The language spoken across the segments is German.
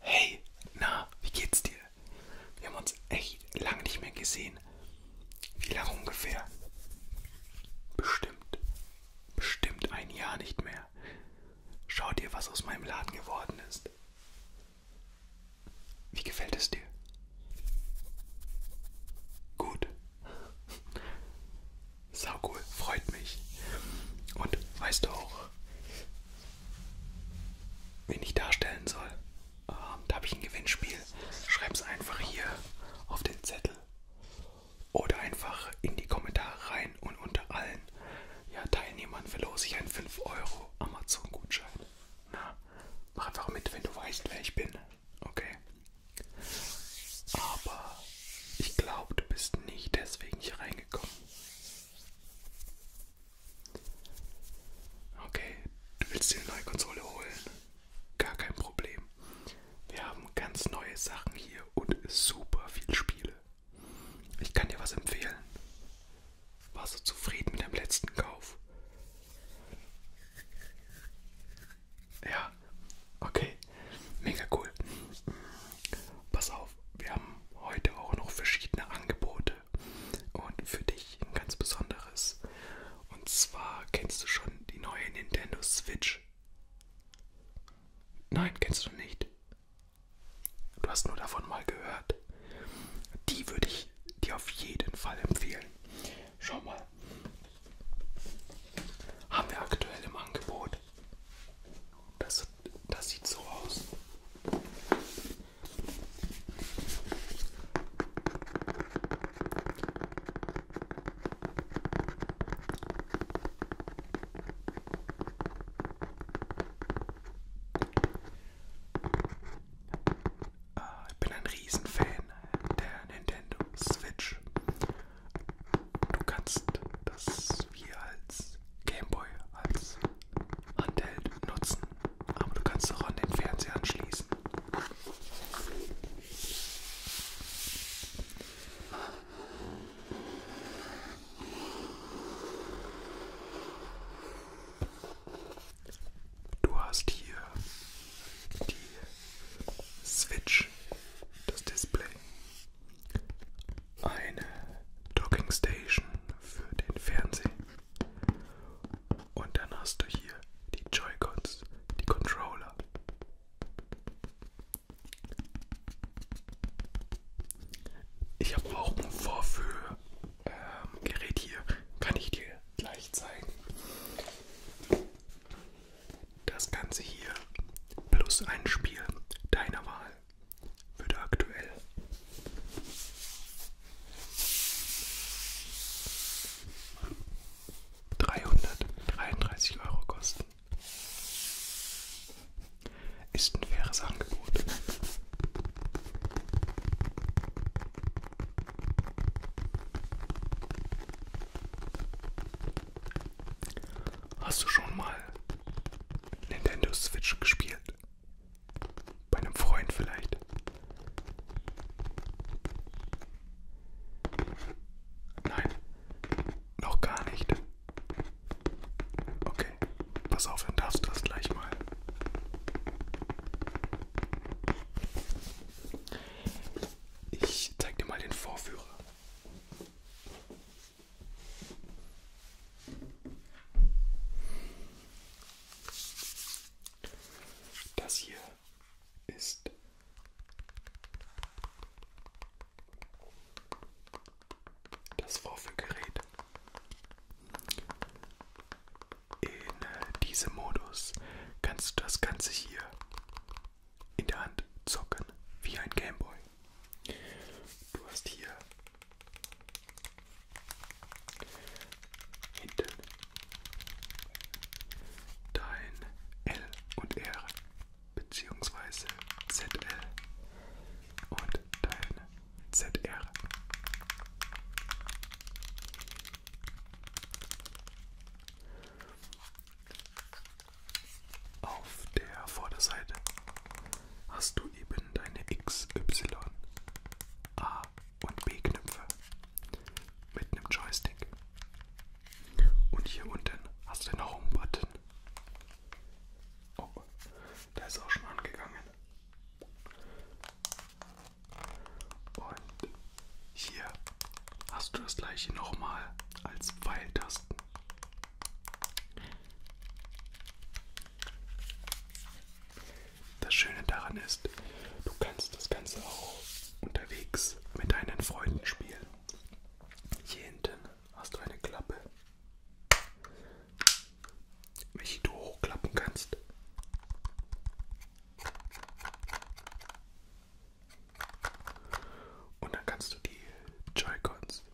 Hey, na, wie geht's dir? Wir haben uns echt lange nicht mehr gesehen. Wie lange ungefähr? Bestimmt, bestimmt ein Jahr nicht mehr. Schau dir, was aus meinem Laden geworden ist. Wie gefällt es dir? Gut. Sau cool, freut mich. Und weißt du auch, wen ich darstellen soll. Ähm, da habe ich ein Gewinnspiel. Schreib's einfach hier auf den Zettel oder einfach in die Kommentare rein und unter allen ja, Teilnehmern verlose ich einen 5 Euro Amazon-Gutschein. Na, mach einfach mit, wenn du weißt, wer ich bin. Okay. Aber ich glaube, du bist nicht deswegen hier reingekommen. Okay, du willst dir eine neue Konsole holen? Gar kein Problem. Wir haben ganz neue Sachen hier und super viel Spiele. Ich kann dir was empfehlen. Warst du zufrieden mit deinem letzten Kauf? Ja, okay, mega cool. Pass auf, wir haben heute auch noch verschiedene Angebote und für dich ein ganz besonderes. Und zwar kennst du schon die neue Nintendo Switch. Nein, kennst du nicht. Du hast nur davon mal gehört. Die würde ich dir auf jeden Fall empfehlen. Schau mal. Haben wir aktuell im Angebot das, das sieht so aus. Ah, ich bin ein Riesenfan der Nintendo Switch. Du kannst das kannst du hier als Gameboy, als Handheld nutzen. Aber du kannst auch an den Fernseher anschließen. Du hast hier die Switch, das Display eine Docking Station für den Fernseher. Und dann hast du hier die Joy-Cons, die Controller. Ich habe auch ein Vorführgerät ähm, hier, kann ich dir gleich zeigen. Das Ganze hier plus ein Spiel deiner Wahl würde aktuell dreihundertdreiunddreißig Euro kosten. Ist ein faires Angebot. Hast du schon mal Nintendo Switch gespielt? Bei einem Freund vielleicht? Nein, noch gar nicht. Okay, pass auf, dann darfst du das gleich mal. Ich zeig dir mal den Vorführer. Das hier ist das Vorführgerät. In diesem Modus kannst du das Ganze hier in der Hand zocken wie ein Gameboy. Du hast hier hinten dein L und R beziehungsweise ZL und dein ZR. Auf der Vorderseite hast du eben deine X, Y, A und B-Knöpfe mit einem Joystick. Und hier unten hast du den Home-Button. Oh, der ist auch schon angegangen. Und hier hast du das gleiche nochmal als Pfeiltasten. Das Schöne daran ist, du kannst das Ganze auch unterwegs mit deinen Freunden spielen. Hier hinten hast du eine Klappe, welche du hochklappen kannst. Und dann kannst du die Joy-Cons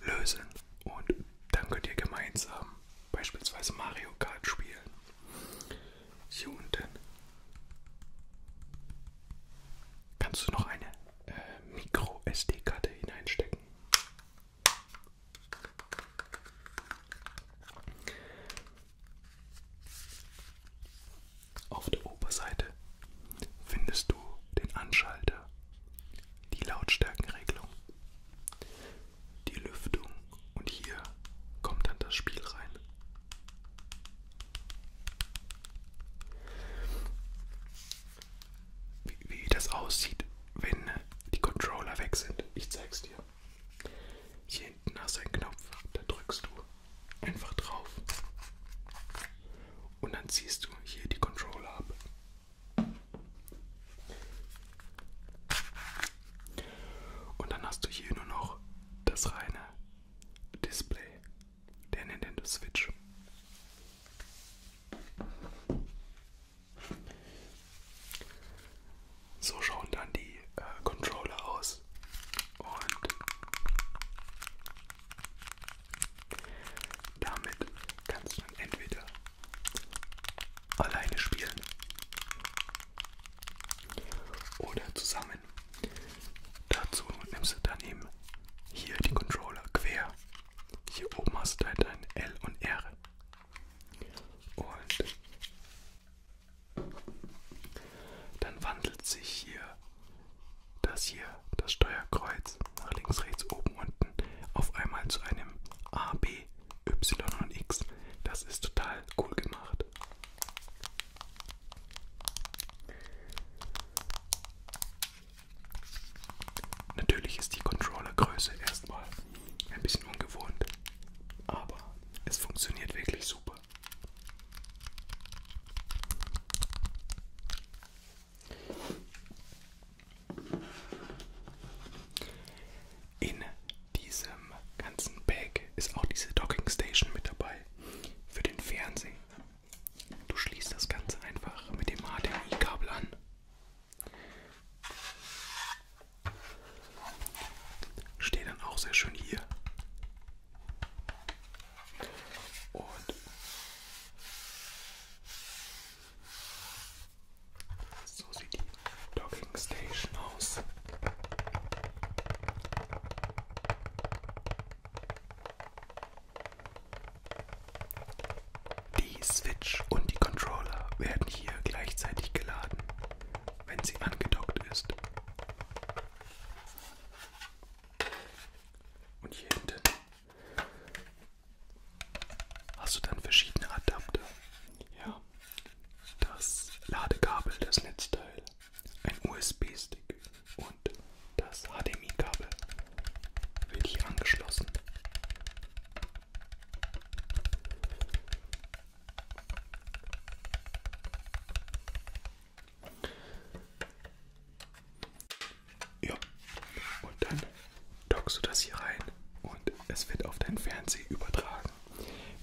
lösen und dann könnt ihr gemeinsam beispielsweise Mario Kart spielen. Hier unten kannst du noch eine äh, Micro SD-Karte hineinstecken. Auf der Oberseite findest du den Anschalter die Lautstärkenregelung, die Lüftung und hier kommt dann das Spiel rein. Wie, wie das aussieht, wenn die Controller weg sind, ich zeig's dir. Hier hinten hast du einen Knopf, da drückst du einfach drauf und dann ziehst du hier die Controller ab. Und dann hast du hier nur noch das reine Display der Nintendo Switch. So schauen dann die äh, Controller aus. Und damit kannst du entweder alleine spielen oder zusammen. Dazu nimmst du daneben hier die Controller quer. Hier oben hast du halt dein L und R. Und dann wandelt sich hier das hier, das Steuerkreuz, nach links, rechts, oben, unten auf einmal zu einem A, B, Y und X. Das ist total cool gemacht. Natürlich ist die Controllergröße erstmal ein bisschen ungewohnt, aber es funktioniert wirklich super. In diesem ganzen Bag ist auch diese Docking Station mit dabei für den Fernseher. Du schließt das Ganze einfach mit dem HDMI-Kabel an. Steht dann auch sehr schön hier. Und so sieht die Docking Station aus. Die Switch und die Controller werden hier gleichzeitig geladen, wenn sie angedockt ist. Und hier hinten hast du dann verschiedene Adapter. Ja. Das Ladekabel, das Netzteil, ein USB-Stick und das HDMI-Kabel wird hier angeschlossen. Ja. Und dann dockst du das hier rein und es wird auf dein Fernseher übertragen.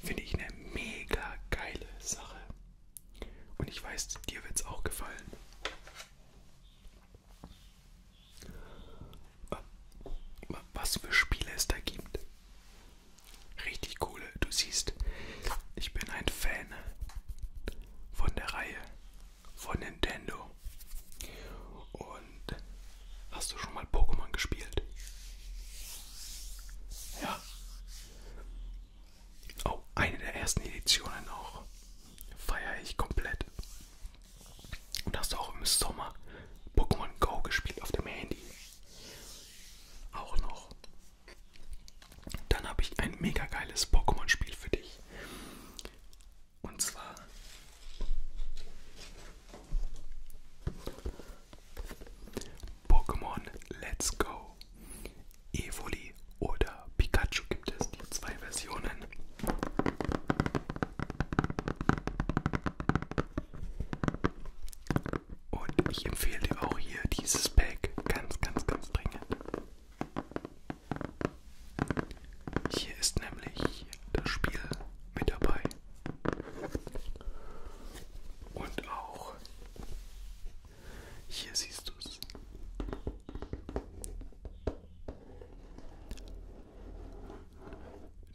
Finde ich eine mega geile Sache. Und ich weiß, dir wird es auch gefallen. Ah, was für Spiele es da gibt. Richtig coole. Du siehst, ich bin ein Fan von der Reihe von Nintendo. Und hast du schon mal Pokémon gespielt? Ja. Oh, eine der ersten Editionen auch. Feiere ich komplett. Und hast du auch im Sommer Pokémon Go gespielt auf dem Handy? Auch noch. Dann habe ich ein mega geiles Pokémon-Spiel für dich. Und zwar Pokémon Let's Go. Evoli oder Pikachu gibt es die zwei Versionen. Und ich empfehle dir auch hier dieses Pack ganz, ganz, ganz dringend. Hier ist nämlich das Spiel mit dabei. Und auch hier siehst du es.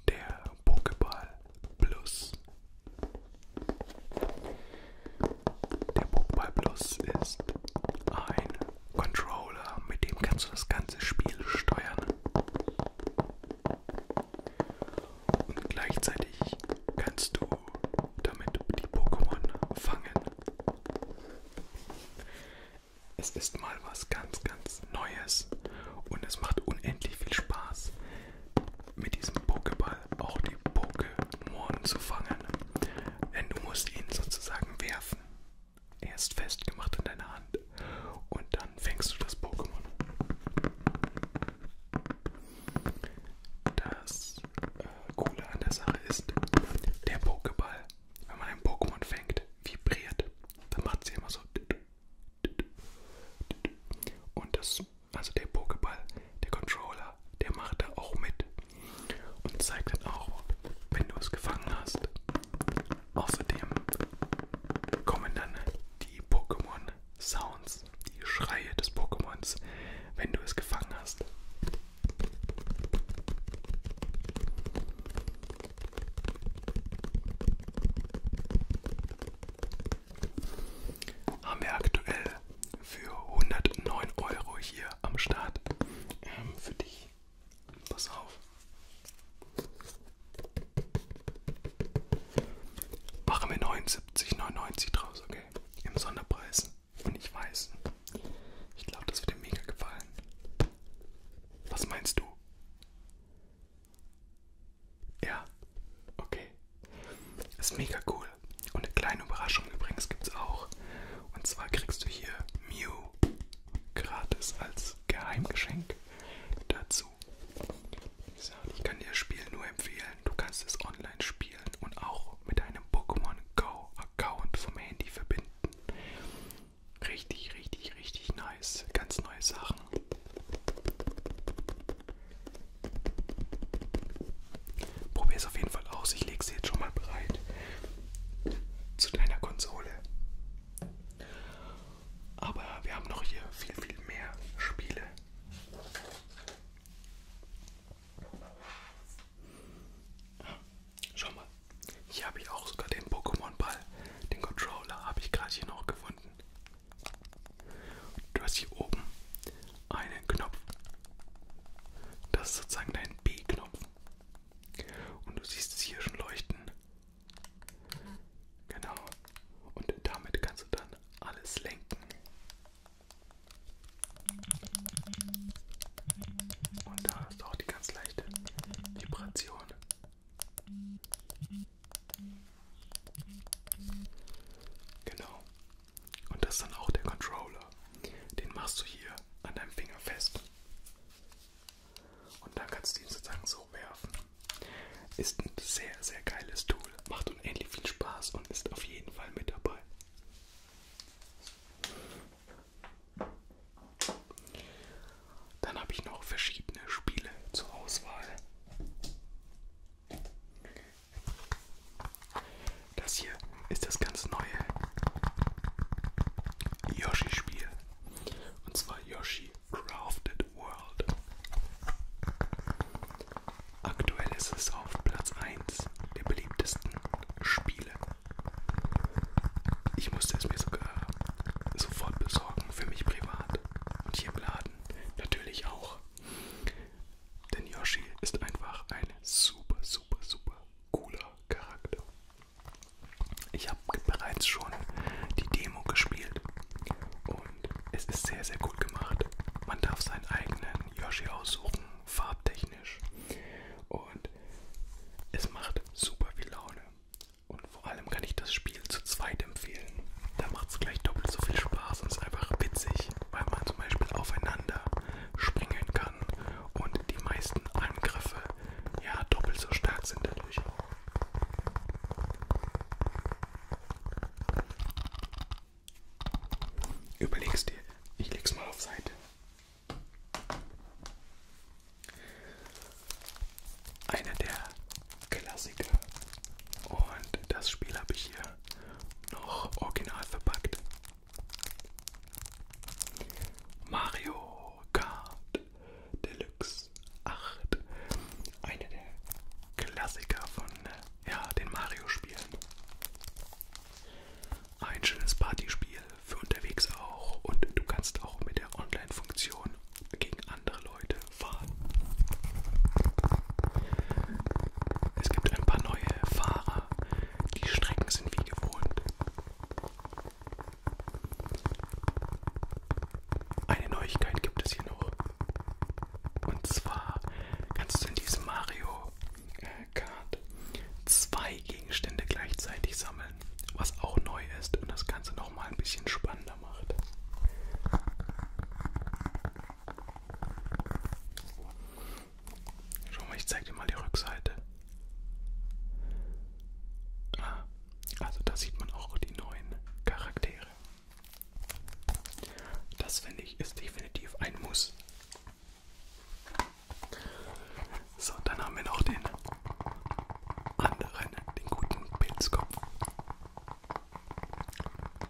Der Pokéball Plus. Der Pokéball Plus ist ein Controller, mit dem kannst du das ganze Spiel steuern. Und gleichzeitig kannst du damit die Pokémon fangen. Es ist mal was ganz, ganz Neues und es macht unendlich viel Spaß, mit diesem Pokéball auch die Pokémon zu fangen. Denn du musst ihn sozusagen werfen erst festgemacht in deiner Hand und dann fängst du das Pokémon. Das äh, Coole an der Sache ist, der Pokéball, wenn man ein Pokémon fängt, vibriert. Dann macht sie immer so. Und das, also der Pokéball, der Controller, der macht da auch mit und zeigt dann auch, wenn du es gefangen hast. Außerdem kommen dann die Pokémon Sounds, die Schreie des Pokémons, wenn du es gefangen hast. Haben wir aktuell für 109 Euro hier am Start ähm, für dich Pass auf. Machen wir 79,99 draus, okay? Im Sonderpreis. Und ich weiß, ich glaube, das wird dir mega gefallen. Was meinst du? Ja, okay. Ist mega cool. Und eine kleine Überraschung übrigens gibt's auch. Und zwar kriegst du hier Mew gratis als Geheimgeschenk dazu. Ich kann dir das Spiel nur empfehlen. Du kannst es online spielen und auch mit einem Pokémon Go Account vom Handy verbinden. Richtig, richtig, richtig nice. Ganz neue Sachen. Probier es auf jeden Fall aus. Ich lege es jetzt schon mal bereit zu deiner Konsole. Aber wir haben noch hier viel, viel mehr Spiele. Ja, schau mal, hier habe ich auch sogar den Pokémon-Ball. Den Controller habe ich gerade hier noch gefunden. Du hast hier oben einen Knopf. Das ist sozusagen dein B-Knopf. Und du siehst es hier schon leuchten. Genau. Und damit kannst du dann alles lenken. Und da ist auch die ganz leichte Vibration. Genau. Und das ist dann auch der Controller. Den machst du hier an deinem Finger fest. Und dann kannst du ihn sozusagen so werfen. Ist ein sehr, sehr geiles Tool. Macht unendlich viel Spaß und ist auf jeden Fall mit dabei. Dann habe ich noch verschiedene Spiele zur Auswahl. Das hier ist das ganz neue Yoshi-Spiel. Und zwar Yoshi Crafted World. Aktuell ist es auf Platz 1 der beliebtesten Spiele. Ich musste es mir sogar sofort besorgen, für mich privat und hier im Laden natürlich auch. Denn Yoshi ist einfach ein super, super, super cooler Charakter. Ich habe bereits schon die Demo gespielt und es ist sehr, sehr gut gemacht. Man darf seinen eigenen Yoshi aussuchen, farbtechnisch. Und es macht super viel Laune. Und vor allem kann ich das Spiel zu zweit empfehlen. Da macht es gleich doppelt so viel Spaß und ist einfach witzig, weil man zum Beispiel aufeinander springen kann kann und die meisten Angriffe ja doppelt so stark sind dadurch. Überleg's dir, ich leg's mal auf Seite. Einer der Klassiker und das Spiel habe ich hier noch original verpackt. Mario Kart Deluxe 8. Eine der Klassiker von ja, den Mario-Spielen. Ein schönes Partyspiel für unterwegs auch und du kannst auch mit der Online-Funktion gegen andere Leute fahren. Es gibt ein paar neue Fahrer. Die Strecken sind wie gewohnt. Eine Neuigkeit gibt es hier noch. Und zwar kannst du in diesem Mario äh, Kart zwei Gegenstände gleichzeitig sammeln, was auch neu ist und das Ganze nochmal ein bisschen spannender macht. Schau mal, ich zeig dir mal die Rückseite. Ah, also da sieht man auch die neuen Charaktere. Das finde ich ist definitiv ein Muss. So, dann haben wir noch den anderen, den guten Pilzkopf.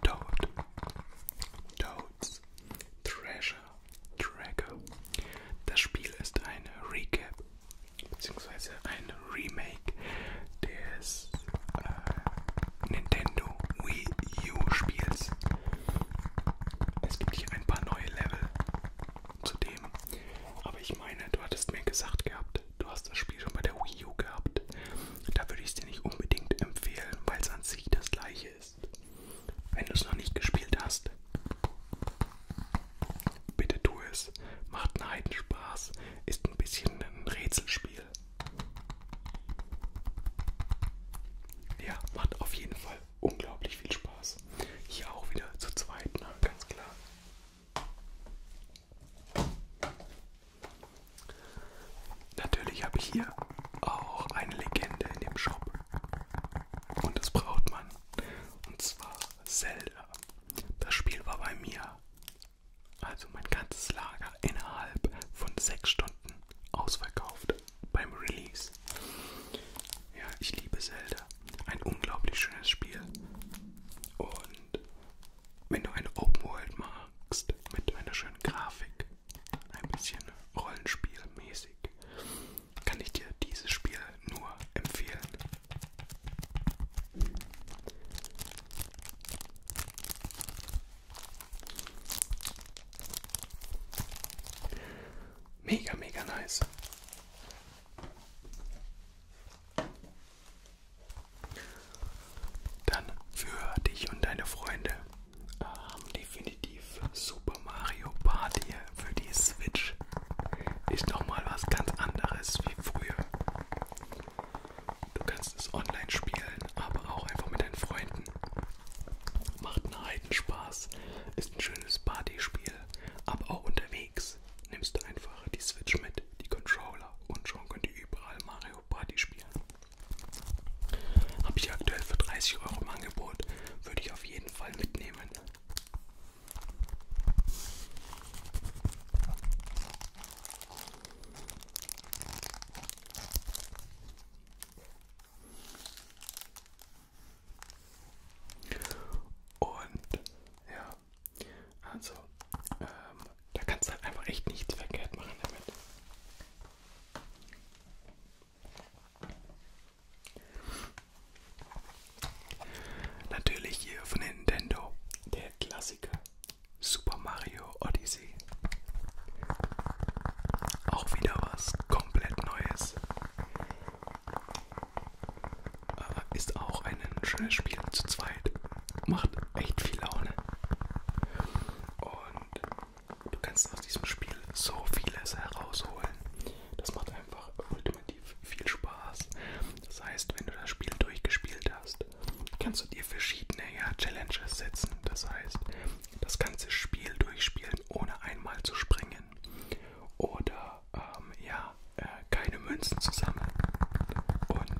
Toad. Toads. Treasure. Tracker. Das Spiel ist ein Recap bzw. ein Remake des äh, Nintendo Wii U Spiels. Es gibt hier ein paar neue Level zudem, aber ich meine, du hattest mir gesagt gehabt, du hast das Spiel schon bei der Wii U gehabt. Da würde ich es dir nicht unbedingt empfehlen, weil es an sich das gleiche ist ist. Wenn du es noch nicht gespielt hast, bitte tu es. Macht einen Heiden Spaß. Ist ein bisschen ein Rätselspiel. Ja, macht auf jeden Fall unglaublich viel Spaß. Hier auch wieder zu zweit, na, ne? ganz klar. Natürlich habe ich hier auch eine Legende in dem Shop und das braucht man. Und zwar Zelda. Das Spiel war bei mir, also mein ganzes Lager, innerhalb von sechs Stunden ausverkauft beim Release. Ja, ich liebe Zelda. Ein unglaublich schönes Spiel. Und wenn du eine Open World magst, mit einer schönen Grafik, ein bisschen rollenspielmäßig, kann ich dir dieses Spiel nur empfehlen. Mega, mega nice. Dann für dich und deine Freunde haben ähm, definitiv definitiv Super Mario Party für die Switch ist nochmal was ganz anderes wie früher. Du kannst es online spielen, aber auch einfach mit deinen Freunden. Macht einen heiden Spaß, ist ein schönes Partyspiel, aber auch unterwegs nimmst du einfach die Switch mit, die Controller und schon könnt ihr überall Mario Party spielen. Habe ich aktuell für 30 Euro im Angebot, würde ich auf jeden Fall mitnehmen. Und ja, also ähm, da kannst du halt einfach echt nichts verkehrt machen damit. Natürlich hier von Nintendo der Klassiker Super Mario Odyssey. Auch wieder was komplett Neues. Ist auch ein schönes Spiel zu zweit. Macht echt viel Laune. Und du kannst aus diesem Spiel so vieles herausholen. Das macht einfach ultimativ viel Spaß. Das heißt, wenn du das Spiel durchgespielt hast, kannst du dir verschiedene ja, Challenges setzen. Das heißt, das ganze Spiel durchspielen, ohne einmal zu springen. Oder ähm, ja, äh, keine Münzen zu sammeln. Und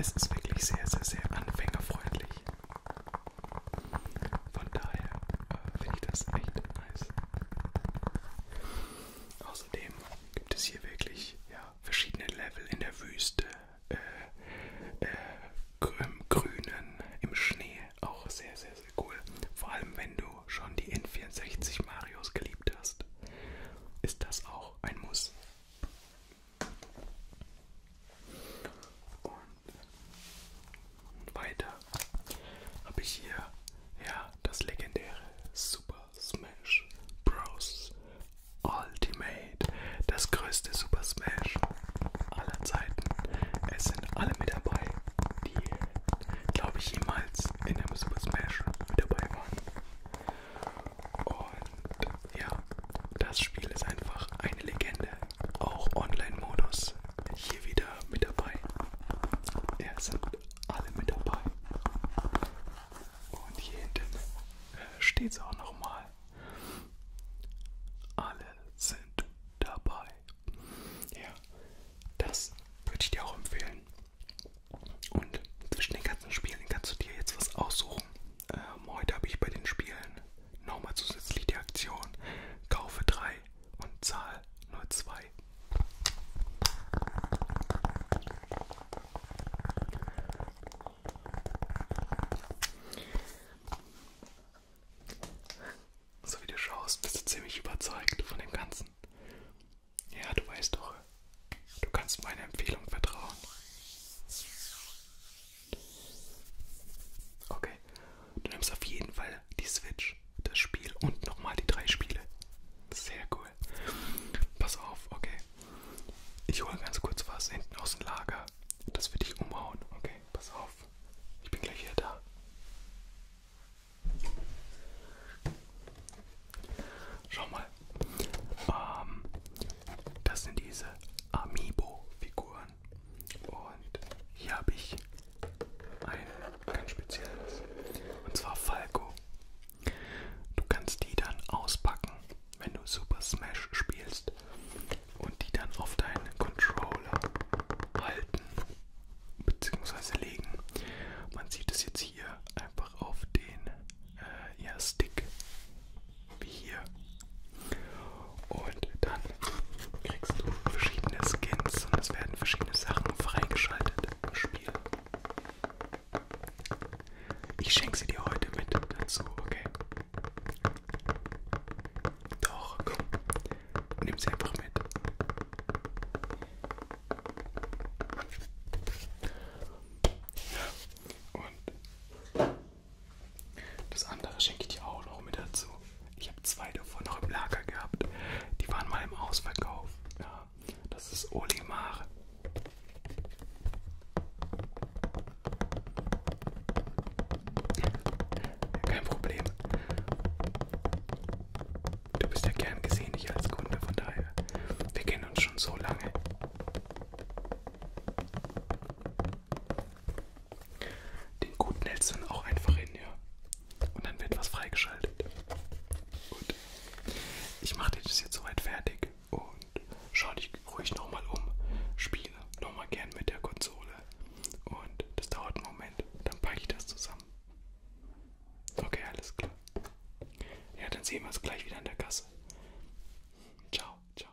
es ist wirklich sehr, sehr, sehr anfängerfreundlich. Von daher äh, finde ich das echt nice. Außerdem gibt es hier wirklich ja, verschiedene Level in der Wüste, äh, äh, im Grünen, im Schnee. Auch sehr, sehr, sehr cool. Vor allem, wenn du schon die N64 Marios geliebt hast, ist das auch ein Muss. Und weiter habe ich hier ja das legendäre Super Smash Bros. Ultimate, das größte Super Smash aller Zeiten. Es sind alle mit dabei, die glaube ich jemals in einem Super Smash mit dabei waren. Und ja, das Spiel ist einfach eine Legende auch Online-Modus hier wieder mit dabei. Ja, sind alle mit dabei. Und hier hinten äh, steht es auch nochmal. Alle sind dabei. Ja, das würde ich dir auch empfehlen. Und zwischen den ganzen Spielen kannst du dir jetzt was aussuchen. Ähm, heute habe ich bei den Spielen nochmal zusätzlich die Aktion: Kaufe drei und Zahl nur zwei. So wie du schaust, bist du ziemlich überzeugt von dem Ganzen. Ja, du weißt doch, du kannst meiner Empfehlung vertrauen. Okay, Du nimmst auf jeden Fall die Switch, das Spiel und nochmal die drei Spiele. Sehr cool. Pass auf, okay. Ich hole ganz kurz was hinten aus dem Lager. Das wird dich umhauen. Okay, pass auf. Ich bin gleich wieder da. Schau mal. Ähm, das sind diese Amiibo-Figuren an. Und hier habe ich ein ganz spezielles. Und zwar Falco. Du kannst die dann auspacken, wenn du Super Smash spielst. Und die dann auf deinen Controller halten bzw. legen. Man sieht es jetzt hier einfach auf den äh, ja, Stick. Wie hier. Und dann kriegst du verschiedene Skins und es werden verschiedene Sachen freigeschaltet im Spiel. Ich schenke sie dir heute mit dazu, okay? Doch, komm. Nimm sie einfach mit. Ja, und das andere schenke ich dir auch noch mit dazu. Ich habe zwei davon noch im Lager gehabt. Die waren mal im Ausverkauf. Ja, das ist Olimar. Kein Problem. Du bist ja gern gesehen, ich als Kunde, von daher. Wir kennen uns schon so lange. Den guten hältst du dann auch einfach hin, ja. Und dann wird was freigeschaltet. Gut. Ich mache dir das jetzt soweit fertig und schau dich ruhig nochmal um. Spiele nochmal gern mit der Konsole. Und das dauert einen Moment. Dann packe ich das zusammen. Okay, alles klar. Ja, dann sehen wir uns gleich wieder an der Kasse. Ciao, ciao.